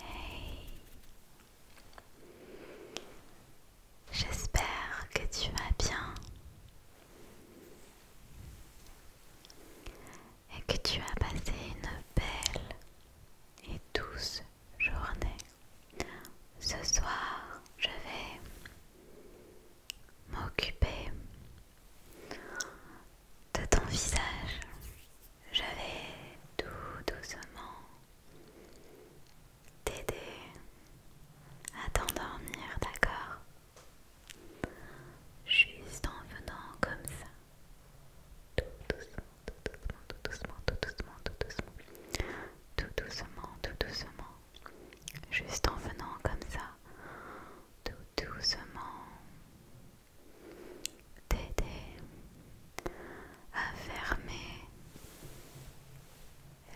Hey. J'espère que tu vas bien et que tu as passé une belle et douce journée. Ce soir, je vais m'occuper de ton visage. Je vais tout doucement t'aider à t'endormir, d'accord Juste en venant comme ça. Tout doucement, tout doucement, tout doucement, tout doucement, tout doucement. Tout doucement, tout doucement. Juste en venant comme ça tout doucement t'aider à fermer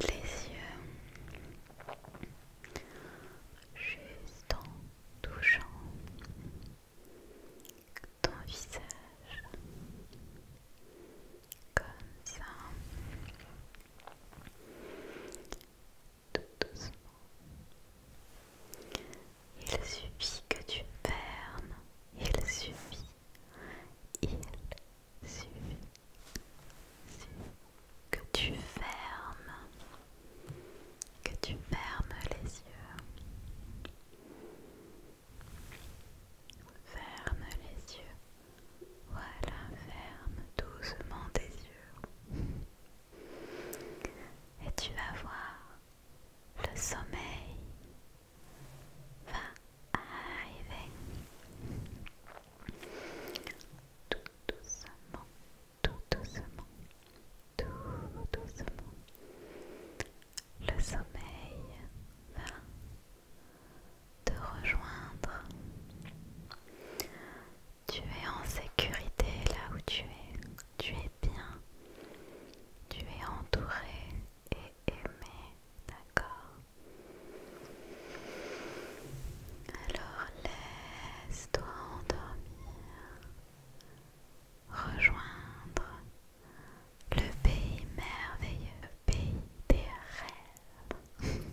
les yeux juste en touchant ton visage comme ça doucement. Il suffit que tu fermes. Il suffit. Il suffit. Que tu fermes. Que tu fermes les yeux. Ferme les yeux. Voilà, ferme doucement tes yeux. Et tu vas voir, le sommeil va arriver tout doucement, tout doucement, tout doucement. Le sommeil va te rejoindre. Tu es en sécurité là où tu es. Tu es bien. Tu es entouré et aimé. D'accord Alors laisse-toi endormir. Rejoindre le pays merveilleux, pays des rêves.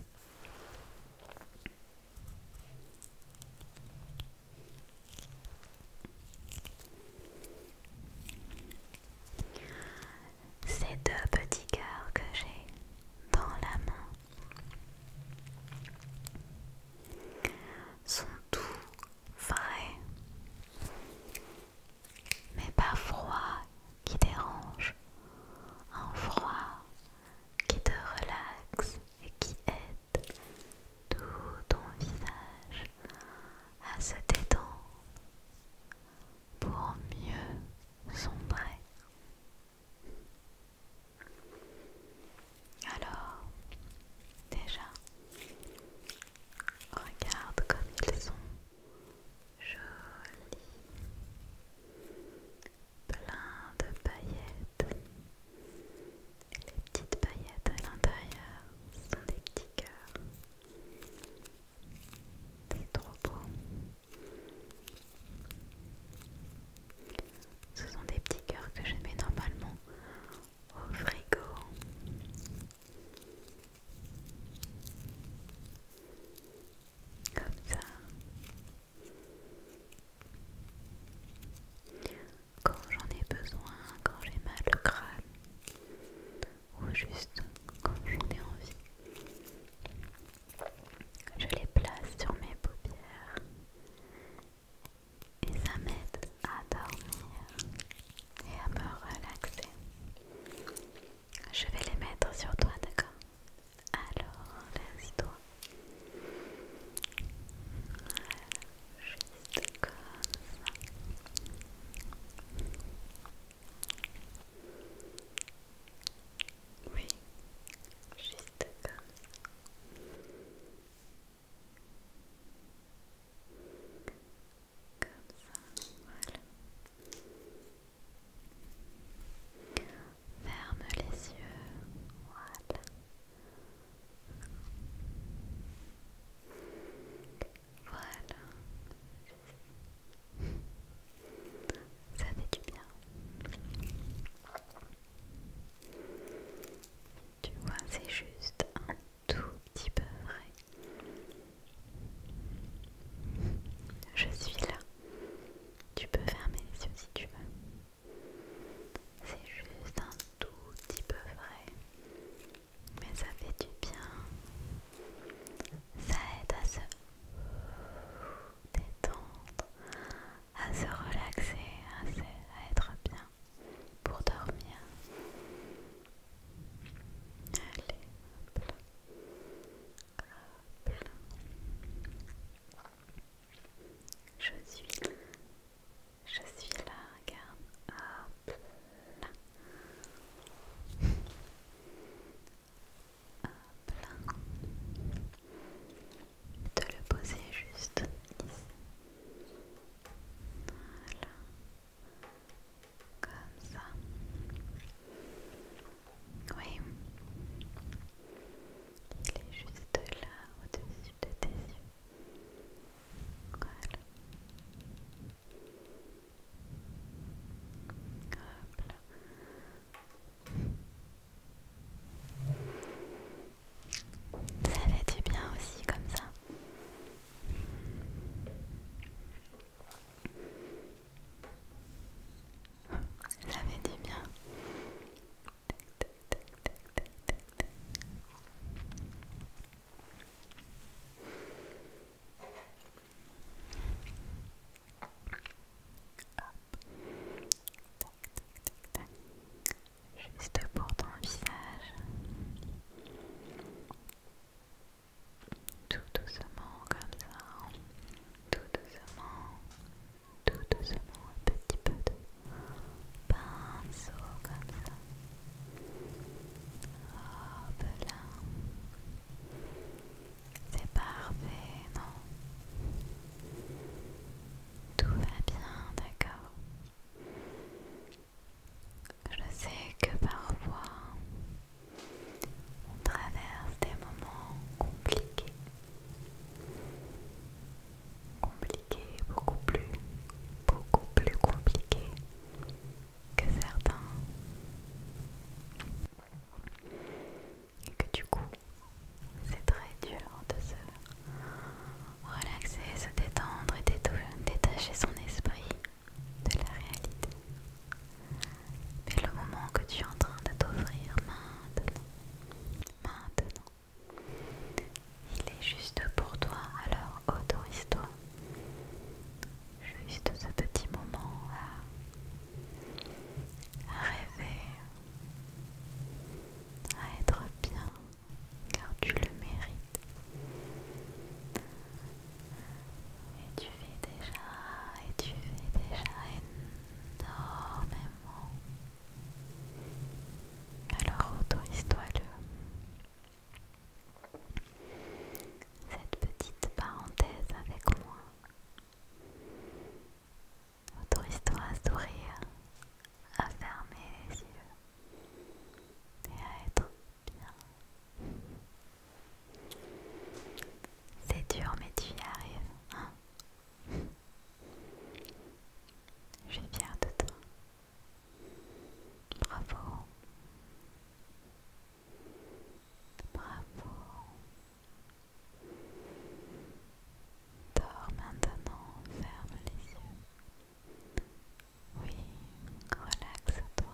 Ces deux petits cœurs que j'ai dans la main sont tout vrais, mais pas froid qui dérange, un froid qui te relaxe et qui aide tout ton visage à se détendre pour mieux sombrer. Alors, déjà, regarde comme ils sont jolis plein de paillettes. Les petites paillettes à l'intérieur sont des petits cœurs. C'est trop beau. Ce sont des petits cœurs que je mets normalement au frigo. Comme ça quand j'en ai besoin, quand j'ai mal au crâne ou juste quand j'en ai envie. Je les place sur mes paupières et ça m'aide à dormir et à me relaxer. Je vais les mettre sur toi, d'accord Alors, laisse-toi Juste comme ça. Oui, juste comme ça. Comme ça, voilà. Ferme les yeux, voilà. Voilà. Ça fait du bien. Tu vois, c'est juste un tout petit peu vrai. Je suis là. Tu peux fermer les yeux si tu veux. C'est juste un tout petit peu vrai, mais ça fait du bien. Ça aide à se détendre, à se relaxer, à, être bien pour dormir. Allez, hop là. Hop Je suis je suis là, regarde. Hop là. Hop là. De le poser juste ici. Voilà. Comme ça. Oui. Il est juste là, au-dessus de tes yeux. Ça fait du bien aussi comme ça. Ça fait du bien. Juste pour ton visage, tout doucement comme ça, tout doucement, tout doucement, un petit peu pinceau comme ça. oh là. C'est parfait, non Tout va bien, d'accord Je sais que parfois on traverse des moments compliqués compliqué, beaucoup plus, beaucoup plus compliqué que certains. Et que du coup, c'est très dur de se relaxer, se détendre et détacher son esprit de la réalité. Mais le moment que tu es en train de t'offrir maintenant, maintenant, il est juste pour toi, alors autorise-toi juste ce petit moment à, rêver, à être bien, car tu le mérites. Et tu vis déjà, et tu vis déjà énormément. Alors autorise-toi le cette petite parenthèse avec moi. Autorise-toi à sourire, à fermer les yeux et à être bien. C'est dur mais tu y arrives. Hein je suis fière de toi. Bravo, bravo. Dors maintenant, ferme les yeux. Oui, relaxe-toi.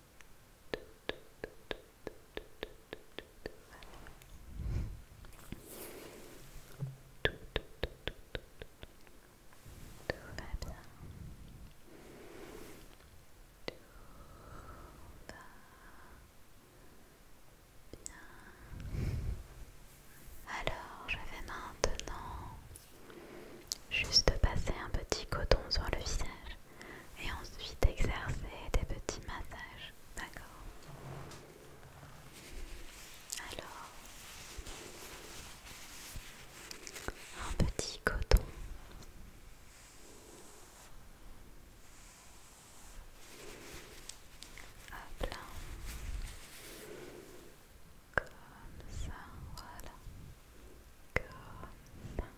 bien. Alors, je vais maintenant Juste passer un petit coton sur le visage et ensuite exercer des petits massages. D'accord Alors, un petit coton. Hop là. Comme ça, voilà comme ça,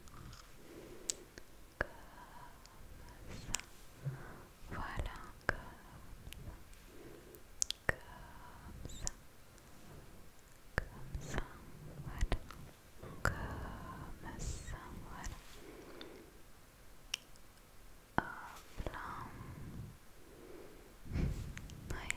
voilà, comme ça, comme ça, comme ça, voilà, comme ça, voilà. Hop là. oui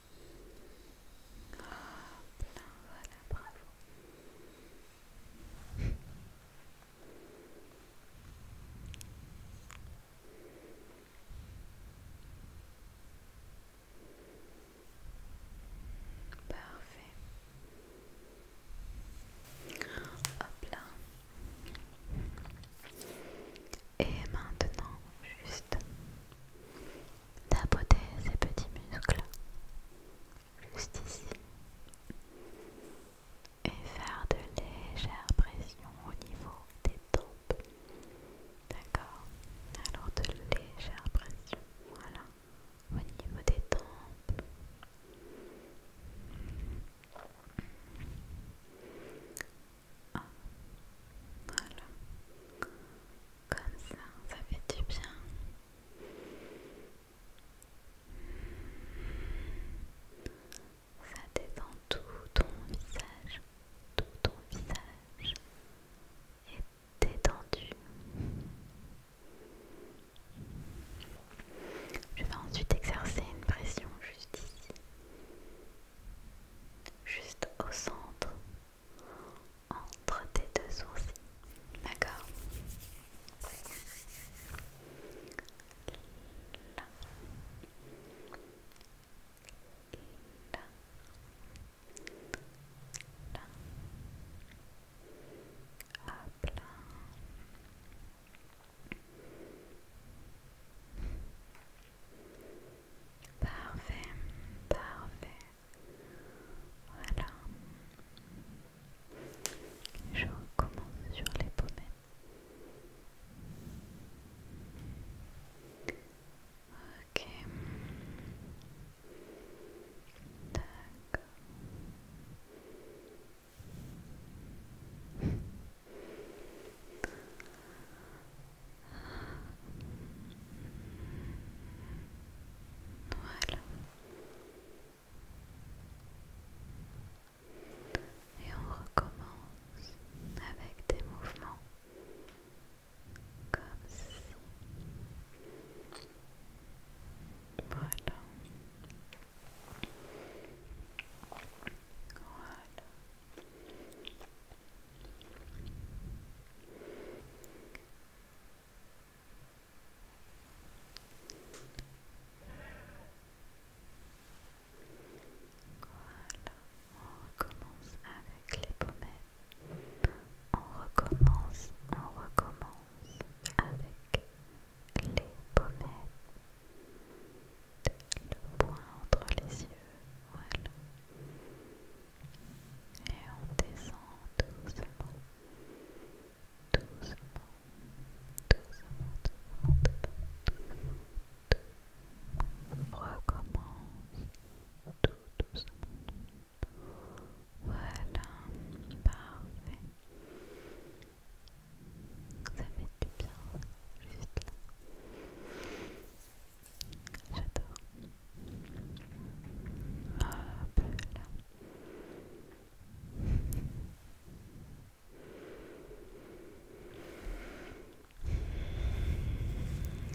Oh, là, voilà, bravo. Parfait. Hop là. Et maintenant, juste tapoter ces petits muscles juste ici et faire de légères pressions au niveau des tempes. D'accord Alors de légères pressions, voilà, au niveau des tempes. Voilà. Comme ça, ça fait du bien. Ça détend tout ton visage, tout ton visage est détendu. Je vais ensuite exercer une pression juste ici, juste au centre entre tes deux sourcils. D'accord Là. Là. Là. Hop là. Parfait, parfait. Voilà. Je recommence sur les pommettes. Ok. D'accord. Voilà. Et on recommence avec des mouvements comme ça Voilà. Voilà on recommence avec les pommettes. On recommence, on recommence avec les pommettes. Le point entre les yeux, et on descend doucement, doucement, doucement, doucement, doucement. Recommence tout doucement. Voilà, parfait. Ça du bien, juste là.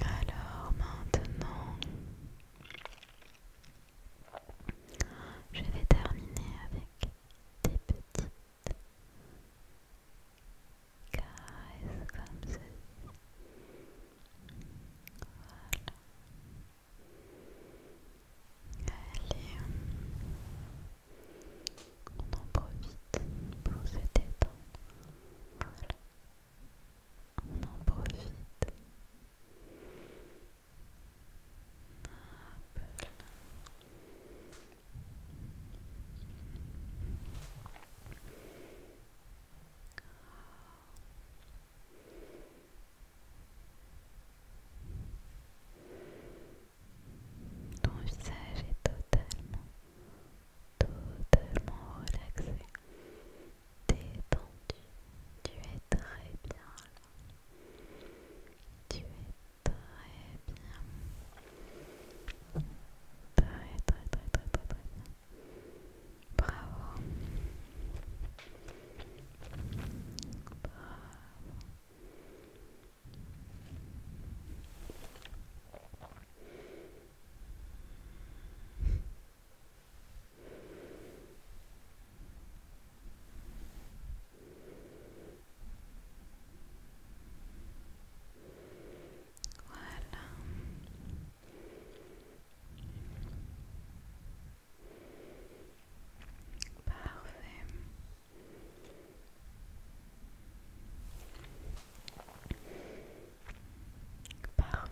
Alors maintenant, je vais terminer avec des petites caresses comme Allez, on en profite pour se détendre. Voilà. On en profite. Hop. Ton visage est totalement, totalement relaxé, détendu. Tu es très bien là. Tu es très bien. Très, très, très, très, très, bien. Bravo. Voilà. Parfait. Parfait.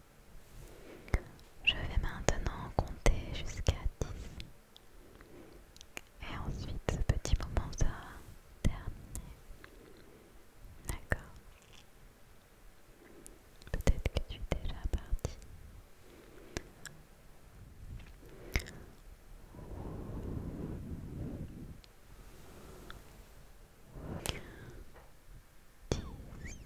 Je vais maintenant compter jusqu'à 10. Et ensuite, ce petit moment sera terminé. D'accord Peut-être que tu es déjà parti. Dix.